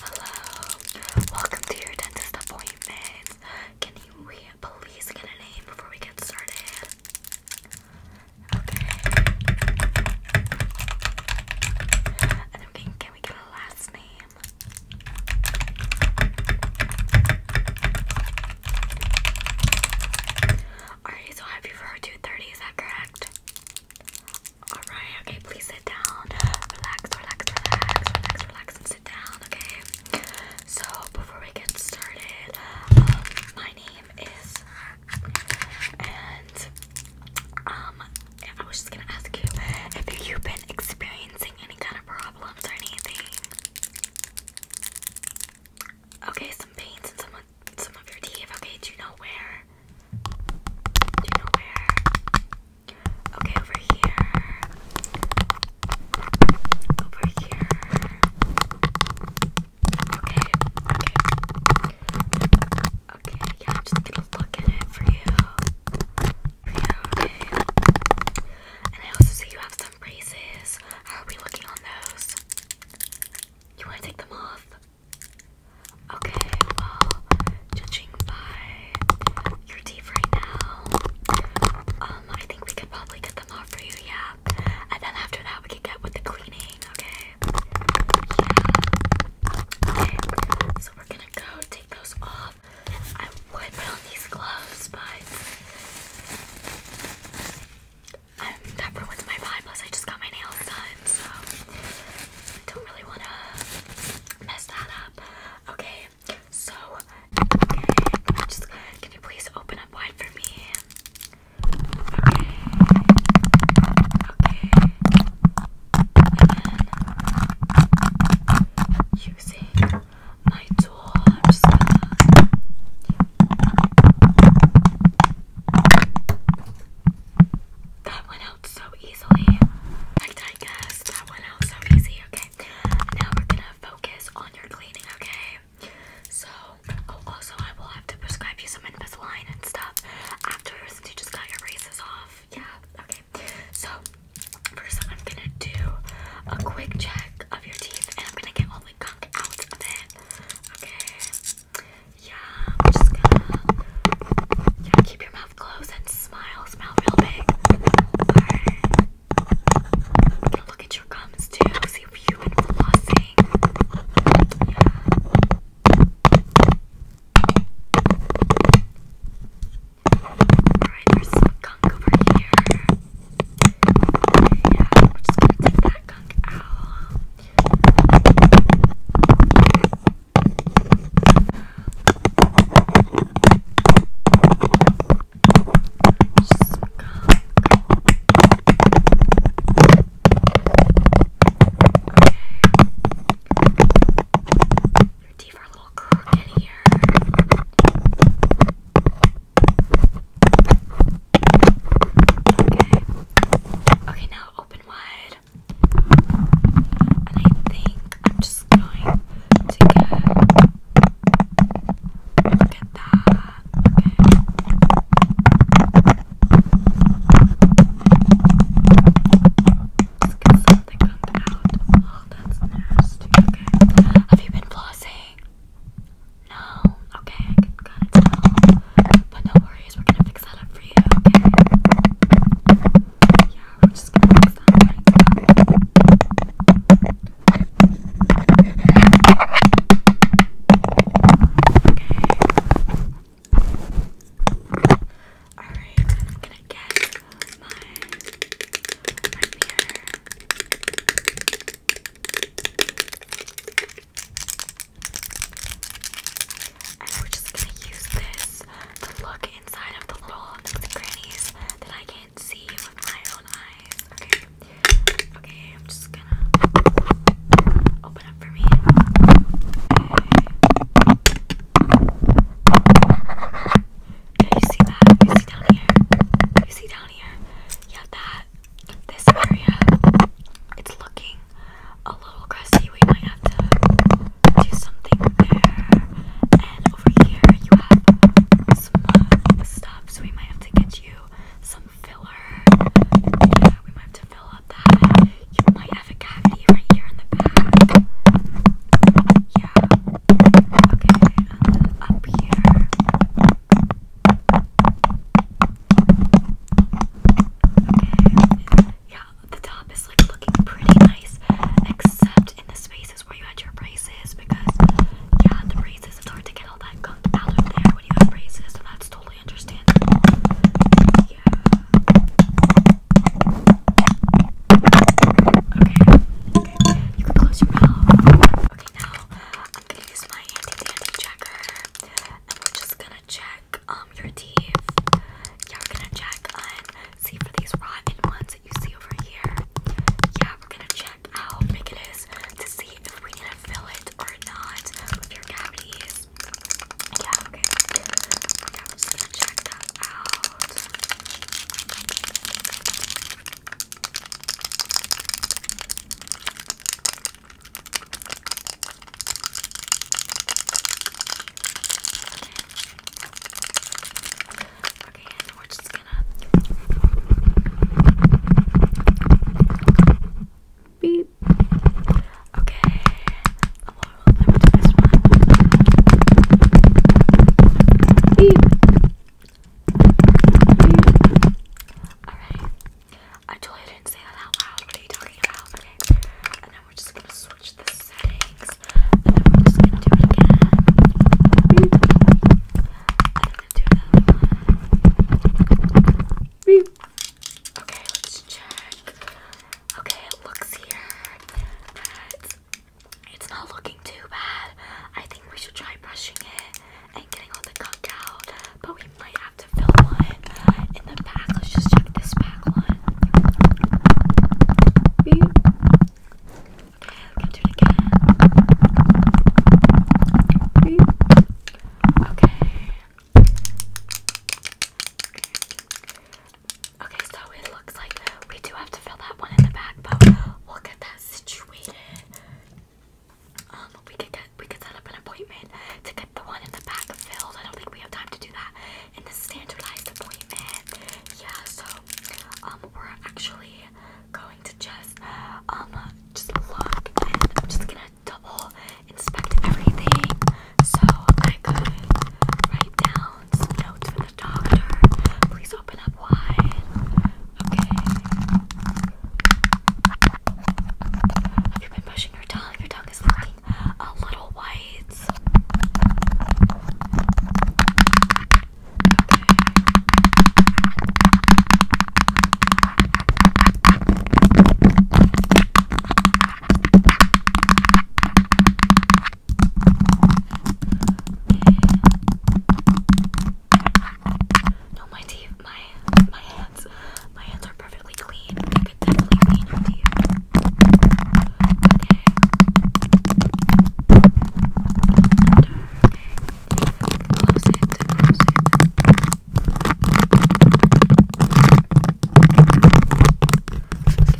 Hello, welcome to your dentist appointment. Can you please get a name before we get started? Okay. And can, we get a last name? Alright, so happy for 2.30, is that correct? Alright, okay, please sit down. Relax, relax, relax, relax, relax, and sit down, okay? So, before we get started, um, my name is. And, um, I was just gonna ask you if you've been experiencing any kind of problems or anything. Okay, some pains in some, some of your teeth. Okay, do you know where? Do you know where? Okay, over here. Over here. Okay, okay. Okay, yeah, I'm just gonna look at it for you. For you, okay. And I also see you have some braces. How are we looking on those? You wanna take them off? Okay, well, judging by your teeth right now, um, I think we could probably get them off for you, yeah. And then after that, we could get with the cleaning, okay? Yeah. Okay, so we're gonna go take those off. I would put on these gloves, but um, that ruins my vibe. Plus, I just got my nails done, so don't really wanna mess that up. Okay, so can you please open up wide for me? Okay. using my tool, I'm just that went so easily. okay? Now we're gonna focus on your cleaning, okay? So, oh, also, I will have to prescribe you some Invisalign and stuff after since you just got your braces off. Yeah, okay. So, first, I'm gonna do a quick check of your teeth and I'm gonna get all the gunk out of it, okay? Yeah, keep your mouth closed and smile. real big. look at your gums too. See if you've been gunk over here. Yeah, we're just gonna take that gunk out. Your teeth are a little crooked here. Okay. Okay, now open wide. And I think I'm just going to get look at that. Okay. Let's get something comes out. Oh, that's nasty. Okay. Have you been flossing? No. Okay, But no worries, we're gonna fix that up for you, okay? Yeah, Okay. Alright, I'm gonna get my right here. And we just gonna use this to look inside of the little nooks and crannies that I can't see with my own eyes. Okay. Okay, I'm just gonna open up for me. Okay. Yeah, you see that? You see down here? You see down here? Yeah, that. This area, it's looking a little crusty. We might have to do something there. And over here you have some uh, stuff, so we might have to get you some filler. Yeah, we might have to fill up that. You might have a cavity right here in the back. Yeah. Okay, up here. Okay. Yeah, the top is like looking pretty nice, except in the spaces where you had your braces because yeah, the braces it's to get all that gunk out of there when you have braces, so that's totally understandable. Yeah. Okay. You can close your mouth. Okay, now I'm gonna use my handy dandy checker, and we're just gonna check um your teeth. Yeah, we're gonna check and see for these rotten ones yeah, we're gonna check how big it is to see if we need to fill it or not your cavities. Yeah, okay. Yeah, i gonna check out. Okay, and we're just gonna beep. Okay, a little let me do this one. Beep. Alright. I totally didn't say that out loud. What are you talking about? Okay. And then we're just gonna switch this settings, and then we're just gonna do it again. And Okay, let's check. Okay, it looks here that it's not looking too bad. I think we should try brushing it and getting all the gunk out, but we might have to fill one in the back. Let's just check this back one. Beep. Okay, we do Okay, so it looks like we do have to fill that one in the back, but we'll get that situated. Um, we could get we could set up an appointment to get the one in the back filled. I don't think we have time to do that in the standardized appointment. Yeah, so um we're actually going to just um just look just gonna double inspect everything so I could write down some notes for the doctor. Please open up wide. Okay. Have been pushing your tongue? Your tongue is looking a little white. No, my teeth, my my hands, my hands are perfectly clean. You could definitely clean your teeth. Okay. Look at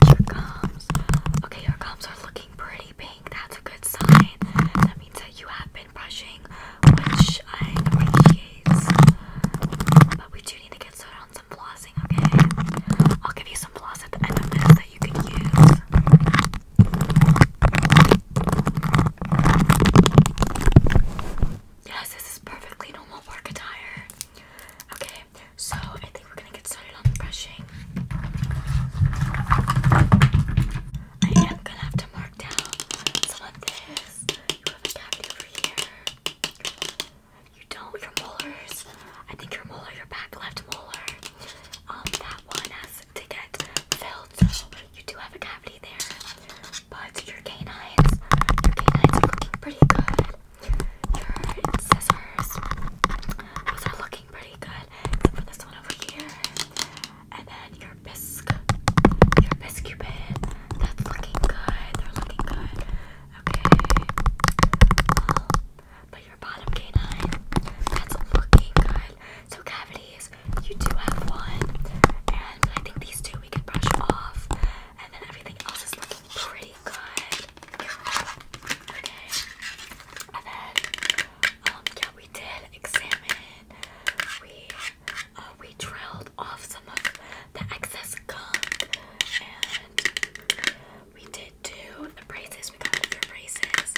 your gums. Okay, your gums are looking pretty pink. That's a good sign. That means that you have been brushing, which I appreciate. But we do need to get started on some flossing, okay? I'll give you some floss at the end of this you Yes, this is perfectly normal work attire. Okay, so I think we're gonna get started on brushing. I am gonna have to mark down some of this. You have a cavity over here. You don't, your molars. I think your molar, your back left molar um, that one has to get filled, so you do have a cavity there, but your canines, your canines are looking pretty good. Your incisors, those are looking pretty good, except for this one over here, and then your biscuit, your bisque that's looking good, they're looking good. Okay, but your bottom canine, that's looking good. So cavities, you do have one, and I think these two we can brush off, and then everything else is looking pretty good. Okay, and then um, yeah, we did examine. We uh, we drilled off some of the excess gunk we did do the braces. We got the braces.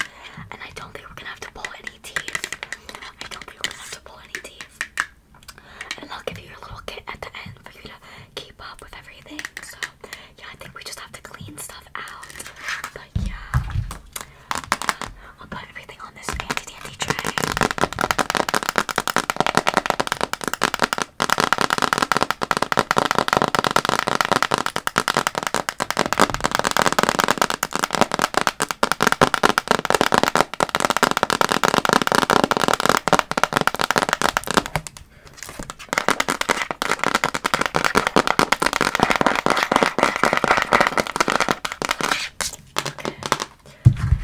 And I don't think we're gonna have to pull any teeth. I don't think we're gonna have to pull any teeth. And I'll give you your little kit at the end for you to keep up with everything. So yeah, I think we just have to clean stuff out. But yeah. I'll put everything on this dandy dandy tray. Okay.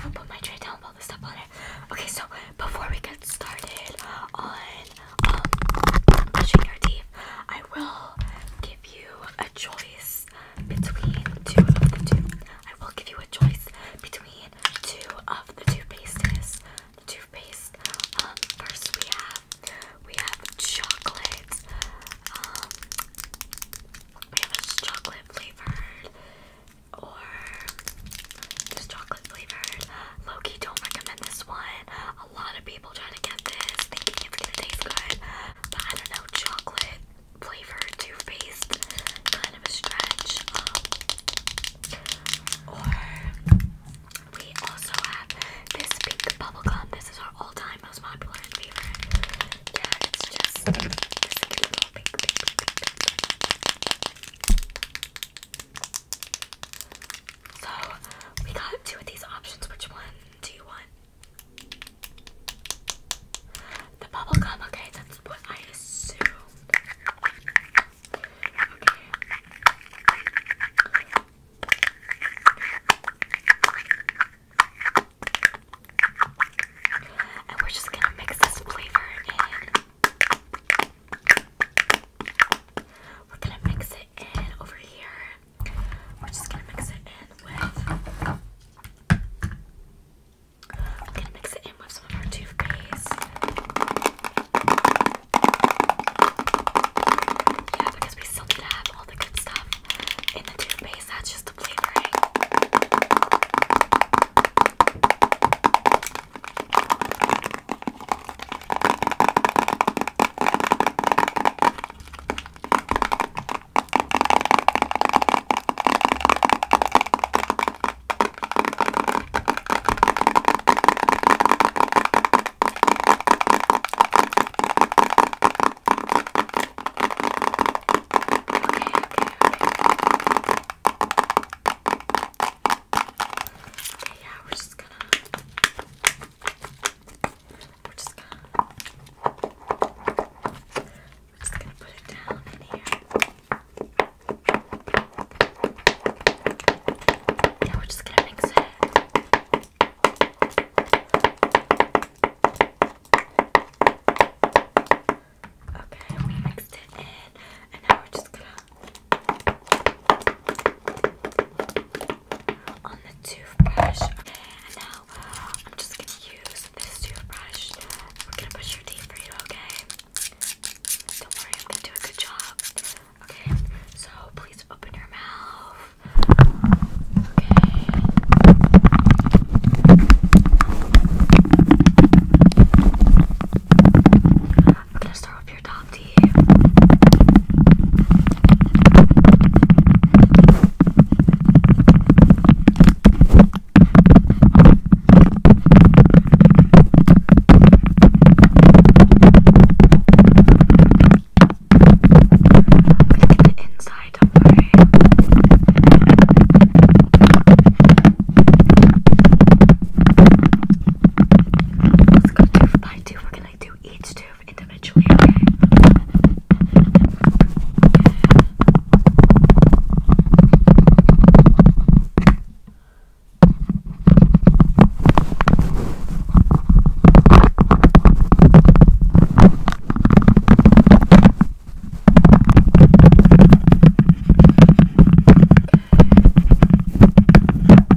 I'll put my tray down with all the stuff on it. Okay, so before we get started on um, I will give you a choice between two of the two. I will give you a choice between two of the toothpastes. The toothpaste. Um, first we have we have chocolate. Um, we have a chocolate flavored or just chocolate flavored. Loki, don't recommend this one a lot of people trying to get this thinking it's going good, but I don't know, chocolate flavor Too Faced kind of a stretch. Um, or we also have this pink gum. This is our all time most popular and favorite. Yeah, it's just pink, pink, pink, pink, pink. So we got two of these options. Which one do you want? The bubble gum, okay, that's what I assumed. Okay. And we're just gonna mix this flavor in. We're gonna mix it and over here. We're just gonna mix it in with. I'm gonna mix it in with some of our toothpaste. Yeah, because we still need to have all the good stuff in the toothpaste. That's just the flavoring. Okay, yeah, we're just gonna we're just gonna we're just gonna put it down in here. Yeah, we're just gonna mix it. Okay, we mixed it in, and now we're just gonna on the toothbrush. And now I'm just gonna use this toothbrush. We're gonna brush your teeth for you, okay? Don't worry, I'm gonna do a good job. Okay, so please open your mouth. Okay. I'm gonna start with your top teeth. Look at the inside, don't worry. Let's go two by two. We're gonna gonna do each tooth individually,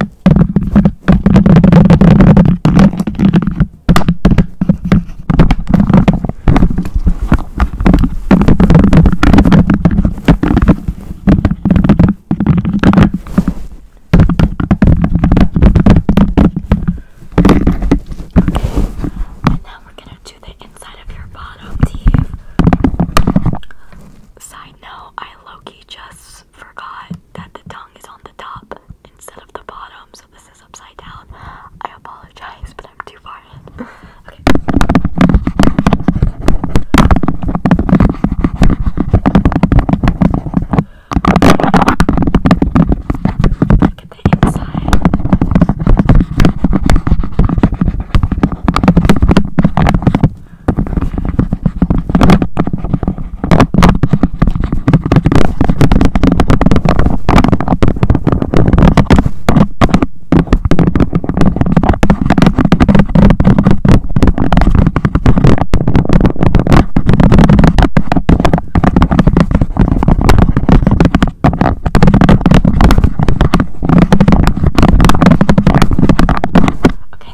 and now we're gonna do the inside of your bottom teeth. Side note, I low key just just forgot that the tongue is on the top instead of the bottom, so this is upside down. I apologize, but I'm too far in. Look at the inside. Okay,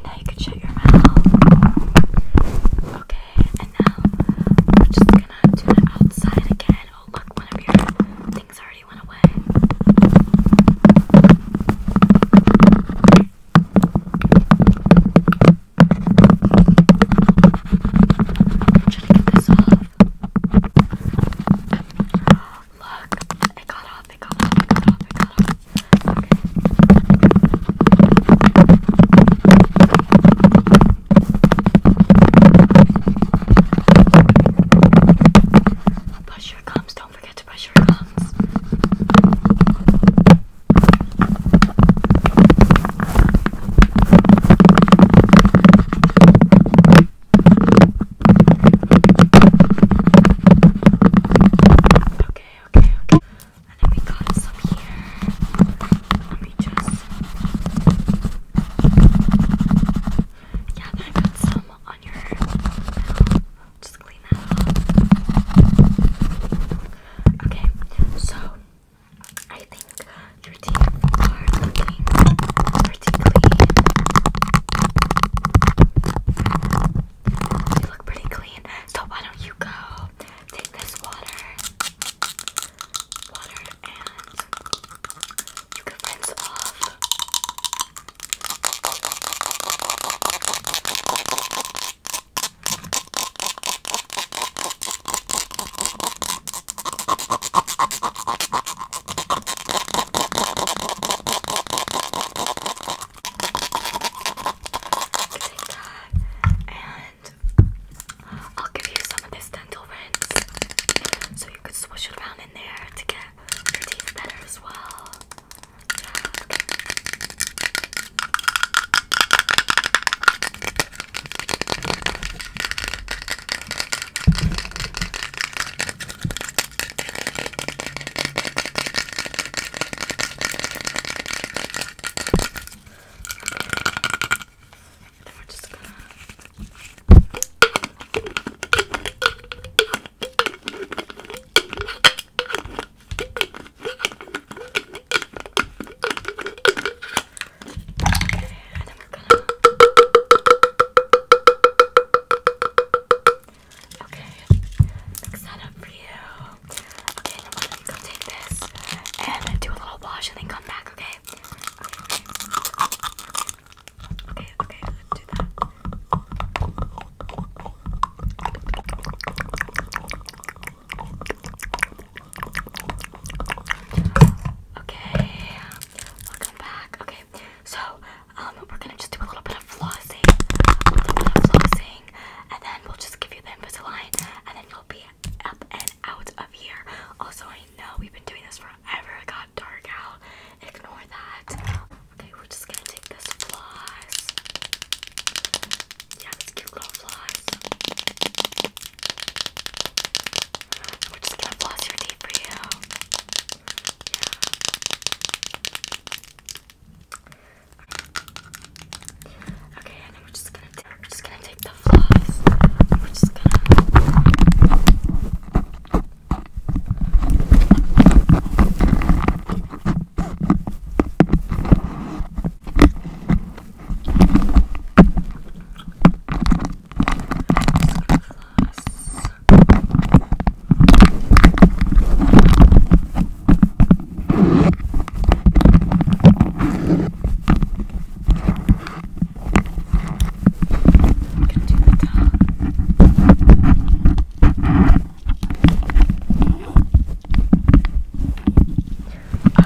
now you can shut your mouth. Okay, and now we're just gonna do it outside again. Oh look, one of your things already went away. I'm trying to get Look, it got off, it got off, it got off, it got off. Brush your gums. Don't forget to brush your gums. Okay, okay, okay. And then we got some here. Let me just. Yeah, then I got some on your Just clean that up. Okay, so I think your teeth are looking pretty clean. You look pretty clean. So why don't you go take this water, water, and you can rinse off. Take that and I'll give you some of this dental rinse so you can swish it around in there to get your teeth better as well. And then we're just gonna. Okay, and then we're gonna. Okay, mix that up for you. Okay, go take this and do a little wash and then come back, okay? Okay, okay, okay, okay do that. Okay, welcome back. Okay, so um, we're gonna just do a little bit of flossing, a little bit of flossing, and then we'll just give you the Invisalign, and then you'll be up and out of here. Also, I know we've been doing this forever. It got dark out. Ignore that. Okay, we're just gonna take this floss. Yeah, this cute little floss. we're just gonna floss your teeth for you. Yeah. Okay, and we're just gonna take we're just gonna take the floss. We're just gonna floss i can going do my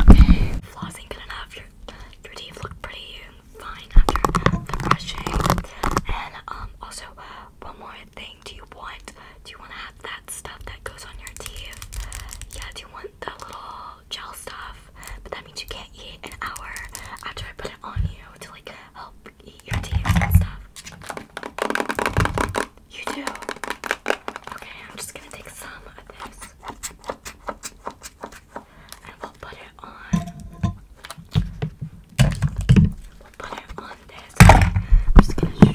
Okay, flossing good enough. Your, your teeth look pretty fine after the brushing. And um, also one more thing. Do you want? Do you want to have that stuff that goes on your teeth? Yeah. Do you want the little gel stuff, but that means you can't eat an hour after I put it on you to like help eat your teeth and stuff. You do. Okay, I'm just gonna take some of this and we'll put it on. We'll put it on this.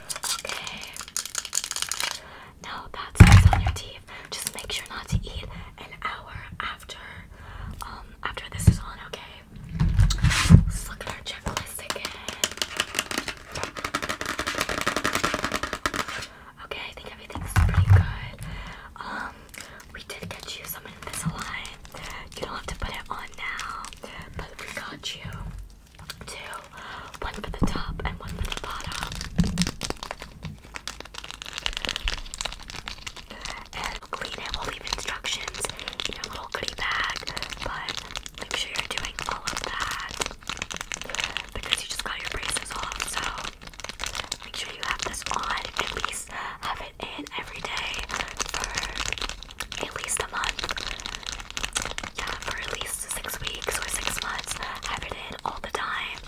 Okay. Now that's on your teeth. Just make sure not to eat an hour after um after this is on, okay? Let's checklist again. Okay, I think everything's pretty good. Um we did get you some Invisalign. You don't have to put it on now, but we got you two, one for the top and one for the bottom. And clean it, we'll leave instructions in your little goodie bag, but make sure you're doing all of that because you just got your braces off, so make sure you have this on, at least have it in every day for at least a month. Yeah, for at least six weeks or six months. Have it in all the time,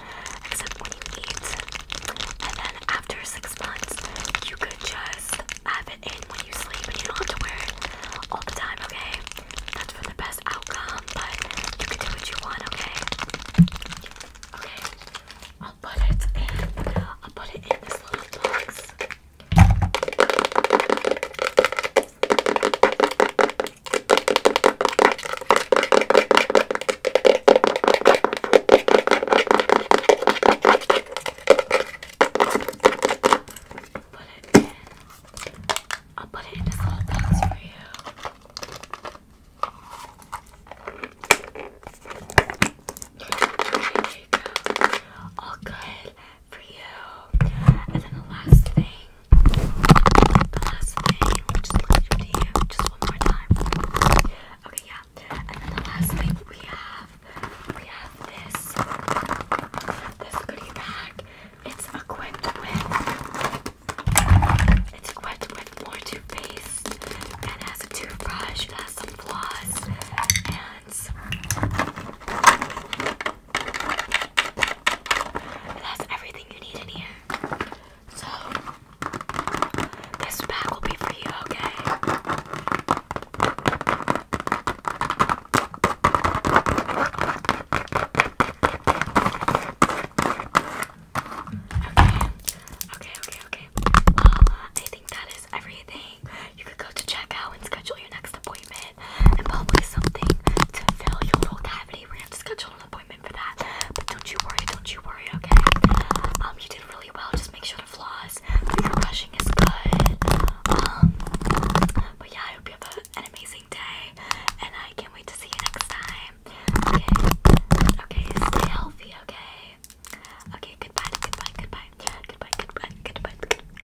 except when you eat. And then after six months, you could just have it in when you sleep and you don't have to wear it all the time, okay? That's for the best outcome, but you can do what you want, okay? Okay, I'll put it in. I'll put it in this box. Put it in. I'll put it in this little box for you. There you go. All good for you. And then the last thing, the last thing, just one more time. Okay, yeah. And then the last thing we have, we have this, this goodie bag. It's equipped with, it's equipped with more toothpaste, and has a toothbrush, it has some floss, and it has everything you need in here. So, this bag will be for you, okay? Okay, okay, okay. Well, I think that is everything. You could go to check out and schedule your next appointment and probably something to fill your little cavity. We're gonna schedule an appointment for that. But don't you worry, don't you worry, okay? Um, you did really well. Just make sure to floss. Your brushing is good. Um, but yeah, I hope you have an amazing day, and I can't wait to see you next time. Okay, okay, stay healthy, okay? Okay, goodbye, goodbye, goodbye, goodbye, goodbye, goodbye. goodbye.